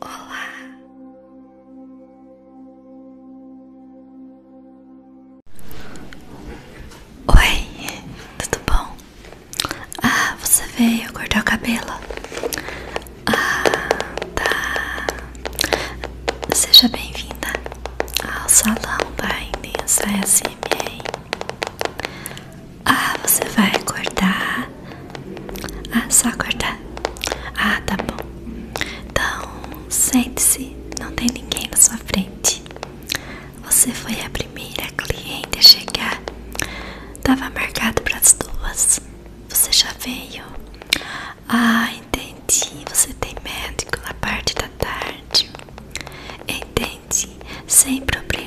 Olá. Oi, tudo bom? Ah, você veio cortar o cabelo? Ah, tá. Seja bem-vinda ao salão da Intensa SMR. Ah, você vai cortar? Ah, só cortar. Ah, tá bom. Então, sente-se. Não tem ninguém na sua frente. Você foi a primeira cliente a chegar. Tava marcado para as duas. Você já veio? Ah, entendi. Você tem médico na parte da tarde. Entendi. Sem problema.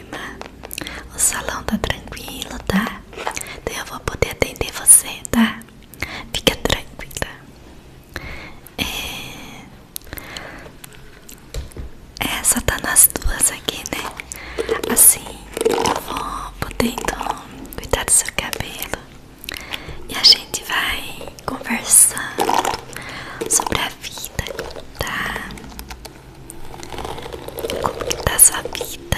O salão tá tranquilo, tá? Então eu vou poder atender você, tá? Fica tranquila. É... só tá nas duas aqui, né? Assim, eu vou podendo cuidar do seu cabelo e a gente vai conversando sobre a vida, tá? Como que tá sua vida?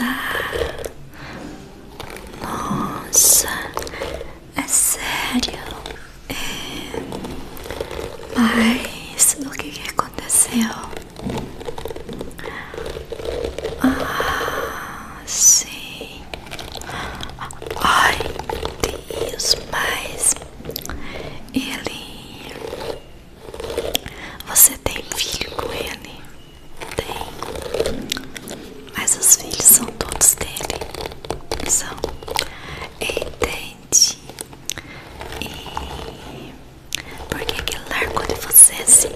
Ah, tá. Nossa, é sério? É... Mas do que, que aconteceu? Ah, sim. Ai, Deus, mas ele. Você tem filho com ele? Tem. Mas os filhos são todos dele. São. Entende? E. Por que, ele largou de você assim?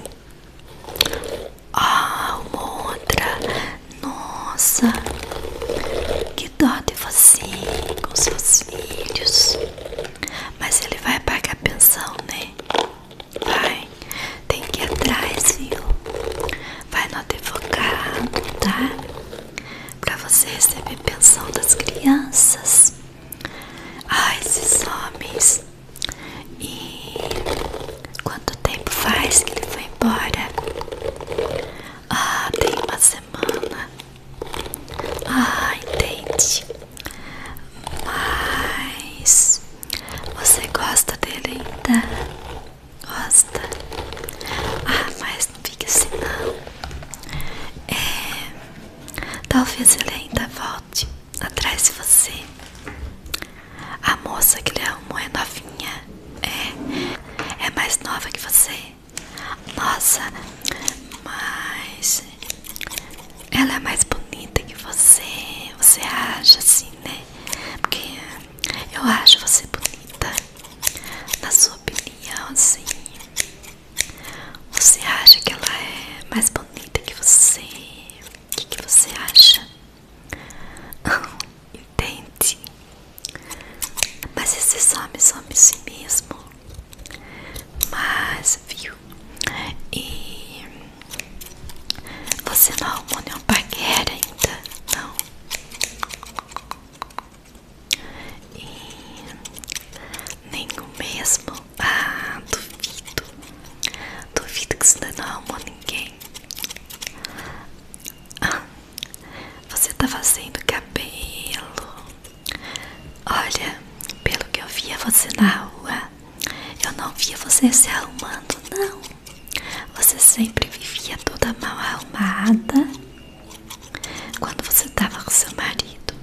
Ah, oh, outra. Nossa, que dote de você com seus filhos. Mas ele vai pagar pensão, né? Vai, tem que ir atrás, viu? Vai notificar tá? Pra você receber pensão das crianças. Ai, ah, esses homens. E quanto tempo faz que ele foi embora? Ah, tem uma semana. Ah, entendi. Mas você gosta dele ainda? Gosta? Ah, mas não fique assim não. É, talvez ele ainda volte atrás de você. A moça que ele arrumou é novinha. É. É mais nova que você. Nossa, mas. Ela é mais bonita que você. Você acha assim, né? Porque eu acho você bonita. Na sua opinião, assim. Você acha que ela é mais bonita que você? O que você acha? Entende? Mas você some, some si mesmo. Mas, viu? E você não arrumou nenhum paquera ainda? Não. E nenhum mesmo? Ah, duvido. Duvido que você não arrumou ninguém. Ah, você tá fazendo cabelo. Olha, pelo que eu via você na rua, eu não via você se arrumando, não. Você sempre vivia toda mal arrumada quando você tava com seu marido.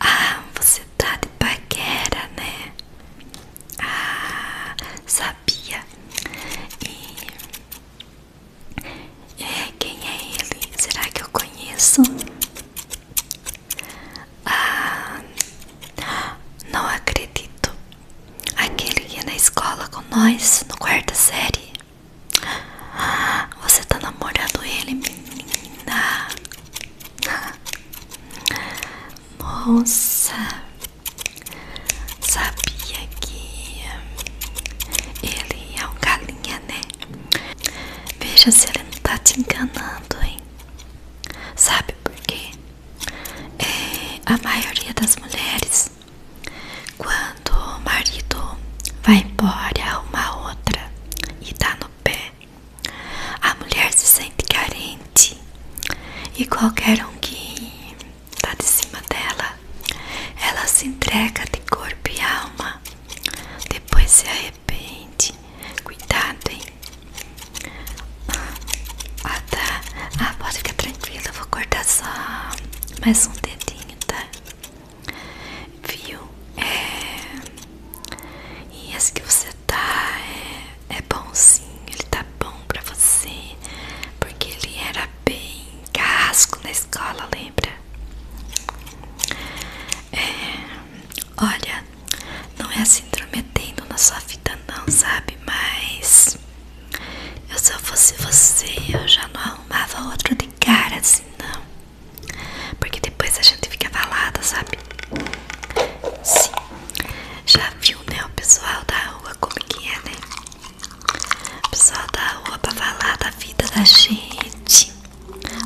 Ah, você tá de paquera, né? Ah, sabe? sabia. E é, quem é ele? Será que eu conheço? Ah, não acredito. Aquele que ia na escola com nós, no quarta série. você tá namorando ele, menina? Nossa, sabia que ele é um galinha, né? Veja se ele não tá te enganando, hein? Sabe por quê? É, a maioria das mulheres, quando o marido vai embora, arruma outra e tá no pé, a mulher se sente carente e qualquer um que está de cima dela, ela se entrega de corpo e alma, depois se arrepende. Cuidado, hein? Ah, tá. Ah, pode ficar tranquila, eu vou cortar só mais um dedinho, tá? Viu? É. E as que você tá é, é bom sim, ele tá bom pra você, porque ele era bem casco na escola, lembra? É, olha, não é assim intrometendo na sua vida não, sabe? Mas eu se eu fosse você, eu já não arrumava outro de cara assim não. Porque depois a gente fica abalada, sabe? Sim, já viu, né? O pessoal da rua, como que é, né? O pessoal da rua pra falar da vida da gente.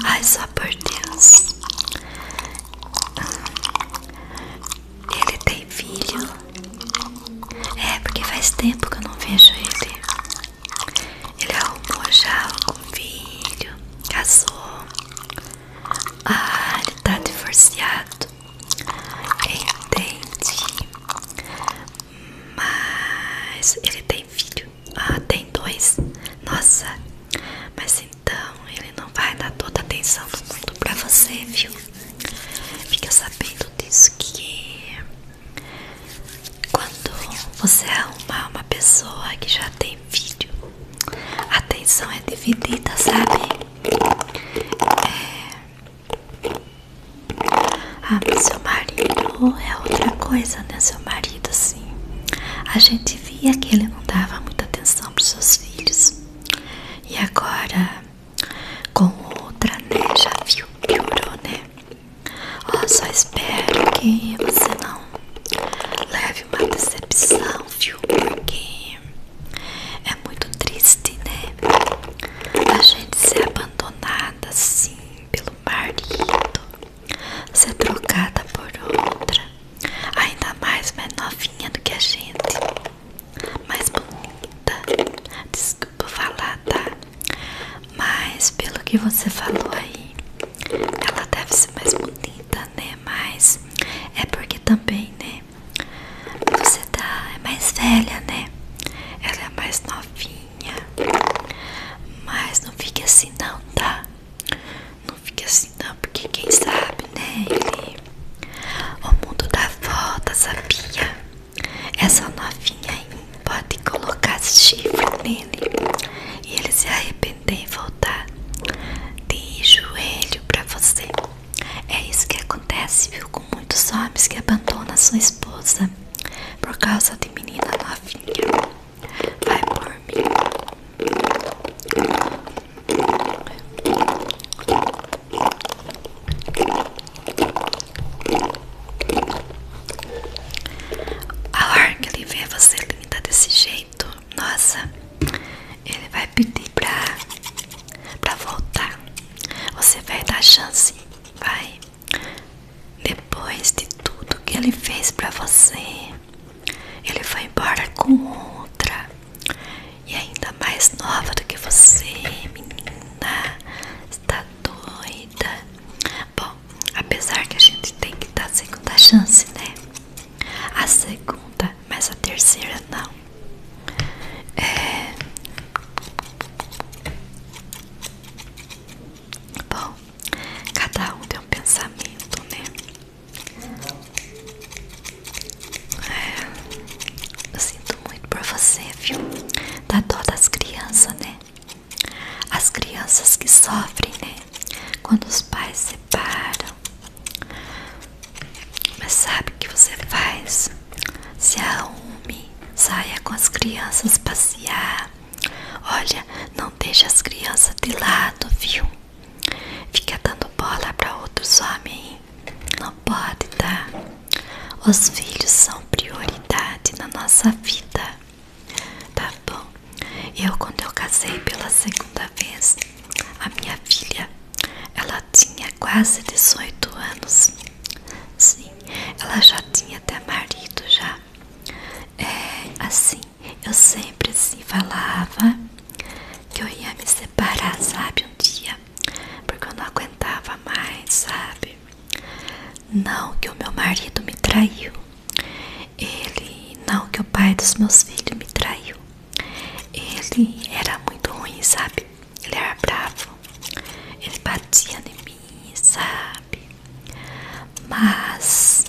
Ai, só por Deus. Ele tem filho? É, porque faz tempo que eu não vejo ele. Ele arrumou já algum filho, casou, ah, ele tá divorciado. Entendi. Mas ele tem filho? Ah, tem dois. Nossa, mas então ele não vai dar toda a atenção do mundo pra você, viu? Fica sabendo disso que quando você arrumar uma pessoa que já tem tem vídeo. A atenção é dividida, sabe? É... Ah, seu marido é outra coisa, né? Seu marido, assim. A gente via que ele não dava muita atenção para seus filhos. E agora, com outra, né? Já viu, piorou, né? Ó, só espero que você não leve uma decepção, filho. Porque é muito triste, né? A gente ser abandonada assim pelo marido, ser trocada por outra, ainda mais mais novinha do que a gente, mais bonita. Desculpa falar, tá? Mas pelo que você falou aí, ela deve ser mais bonita, né? Mas é porque também, né? Você tá é mais velha, né? Ela é mais novinha. Mas não fique assim não, tá? Não fique assim não, porque quem sabe, né? Ele, o mundo dá volta, sabia? Essa novinha aí pode colocar chifre e ele se arrepender e voltar de joelho para você. É isso que acontece, viu, com muitos homens que abandonam sua esposa por causa de menina novinha. Vai por mim. A hora que ele vê você ele me dá desse jeito, nossa, ele vai pedir pra, pra voltar. Você vai dar chance, vai. Depois de tudo que ele fez pra você, ele foi embora com outra. E ainda mais nova do que você, menina. Está doida. Bom, apesar que a gente tem que estar a segunda chance, né? A segunda, mas a terceira não. É... Bom, cada um tem um pensamento, né? É, eu sinto muito por você, viu? Da dó das crianças, né? As crianças que sofrem, né? Quando os pais separam. Mas sabe o que você faz? Se arrume, saia com as crianças passear. Olha, não deixe as crianças de lado, viu? Fica dando bola para outros homens. Não pode, tá? Os filhos são prioridade na nossa vida. Tá bom. Eu, quando eu casei pela segunda vez, a minha filha, ela tinha quase 18 anos. Sim, ela já tinha até marido já. É, assim, eu sempre assim falava que eu ia me separar, sabe, um dia. Porque eu não aguentava mais, sabe? Não que o meu marido me traiu. Ele, não que o pai dos meus filhos me traiu. Ele era muito ruim, sabe? Ele era bravo. Ele batia em mim, sabe? Mas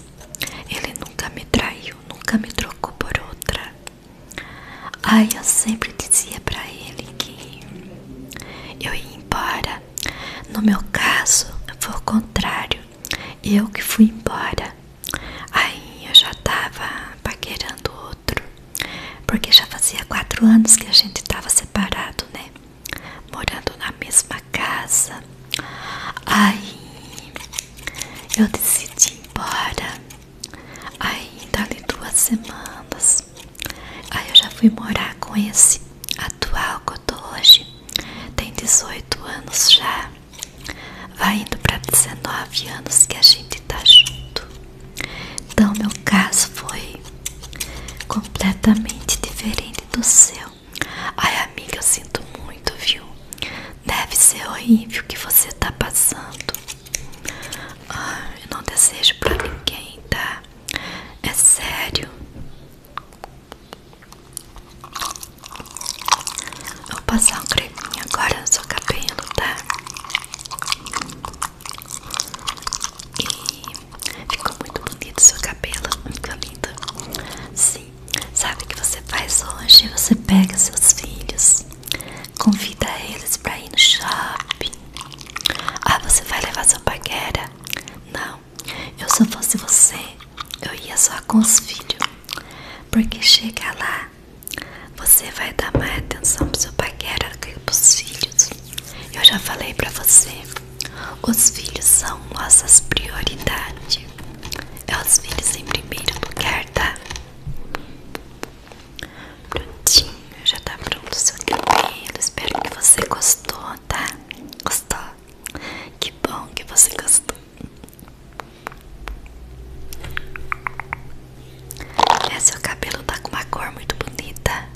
ele nunca me traiu, nunca me trocou por outra. ai eu sempre dizia para ele que eu ia embora no meu caso, foi o contrário. Eu que fui embora. Aí eu já tava paquerando outro. Porque já fazia quatro anos que a gente tava separado, né? Morando na mesma casa. Aí eu decidi ir embora. Aí dali duas semanas. Aí eu já fui morar com esse atual que eu tô hoje tem 18 anos já, vai indo para 19 anos que a gente tá junto. Então, meu caso foi completamente diferente do seu. Ai, amiga, eu sinto muito, viu? Deve ser horrível o que você tá passando. Ah, eu não desejo pra ninguém, tá? É sério. Vou passar um creminho agora no seu cabelo, tá? E ficou muito bonito o seu cabelo, muito lindo. Sim, sabe o que você faz hoje? Você pega seus filhos, convida eles pra ir no shopping, ah, você vai levar seu paquera? Não, eu só fosse você, eu ia só com os filhos. Porque chega lá, você vai dar mais atenção pro seu paquera do que pros filhos. Eu já falei pra você, os filhos são nossas prioridades. É os filhos em primeiro lugar, tá? Prontinho, já tá pronto o seu cabelo. Espero que você gostou, tá? Gostou? Que bom que você gostou. É, seu cabelo tá com uma cor muito bonita.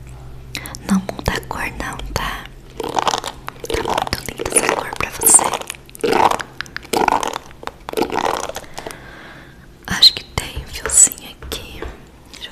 Não muda a cor, não, tá? Tá muito linda essa cor pra você. Acho que tem um fiozinho aqui. Deixa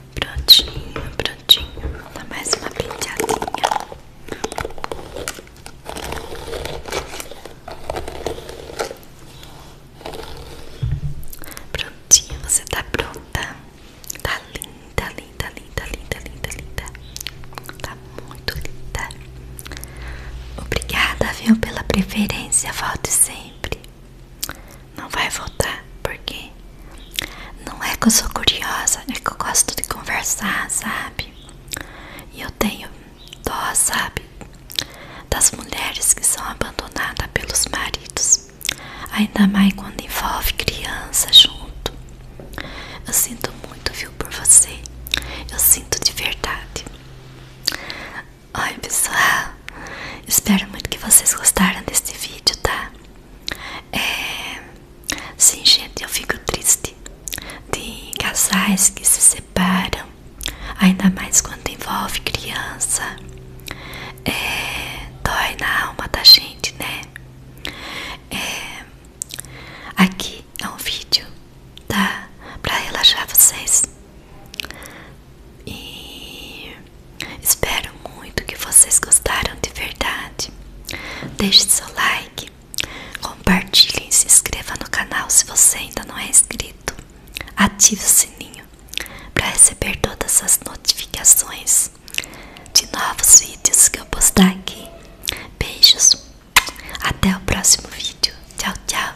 Prontinho, prontinho. Dá mais uma penteadinha. Prontinho, você tá pronta. Tá linda, linda, linda, linda, linda, linda. Tá muito linda. Obrigada, viu, pela preferência. Volte sempre. Não vai voltar, por quê não é que eu sou curiosa, é que eu gosto de conversar, sabe? E eu tenho dó, sabe? Das mulheres que são abandonadas pelos maridos, ainda mais quando envolve crianças junto. Eu sinto muito, viu, por você. Eu sinto de verdade. Oi, pessoal. Espero muito que vocês gostaram desse vídeo, tá? É... Sim, gente, eu fico triste de casais que se separam, ainda mais quando envolve criança. É, dói na alma da gente, né? É, aqui é um vídeo, tá? Pra relaxar vocês. Espero muito que vocês gostaram de verdade. Deixe seu like, compartilhe e se inscreva no canal se você ainda não é inscrito. Ative o sininho para receber todas as notificações de novos vídeos que eu postar aqui. Beijos, até o próximo vídeo. Tchau, tchau.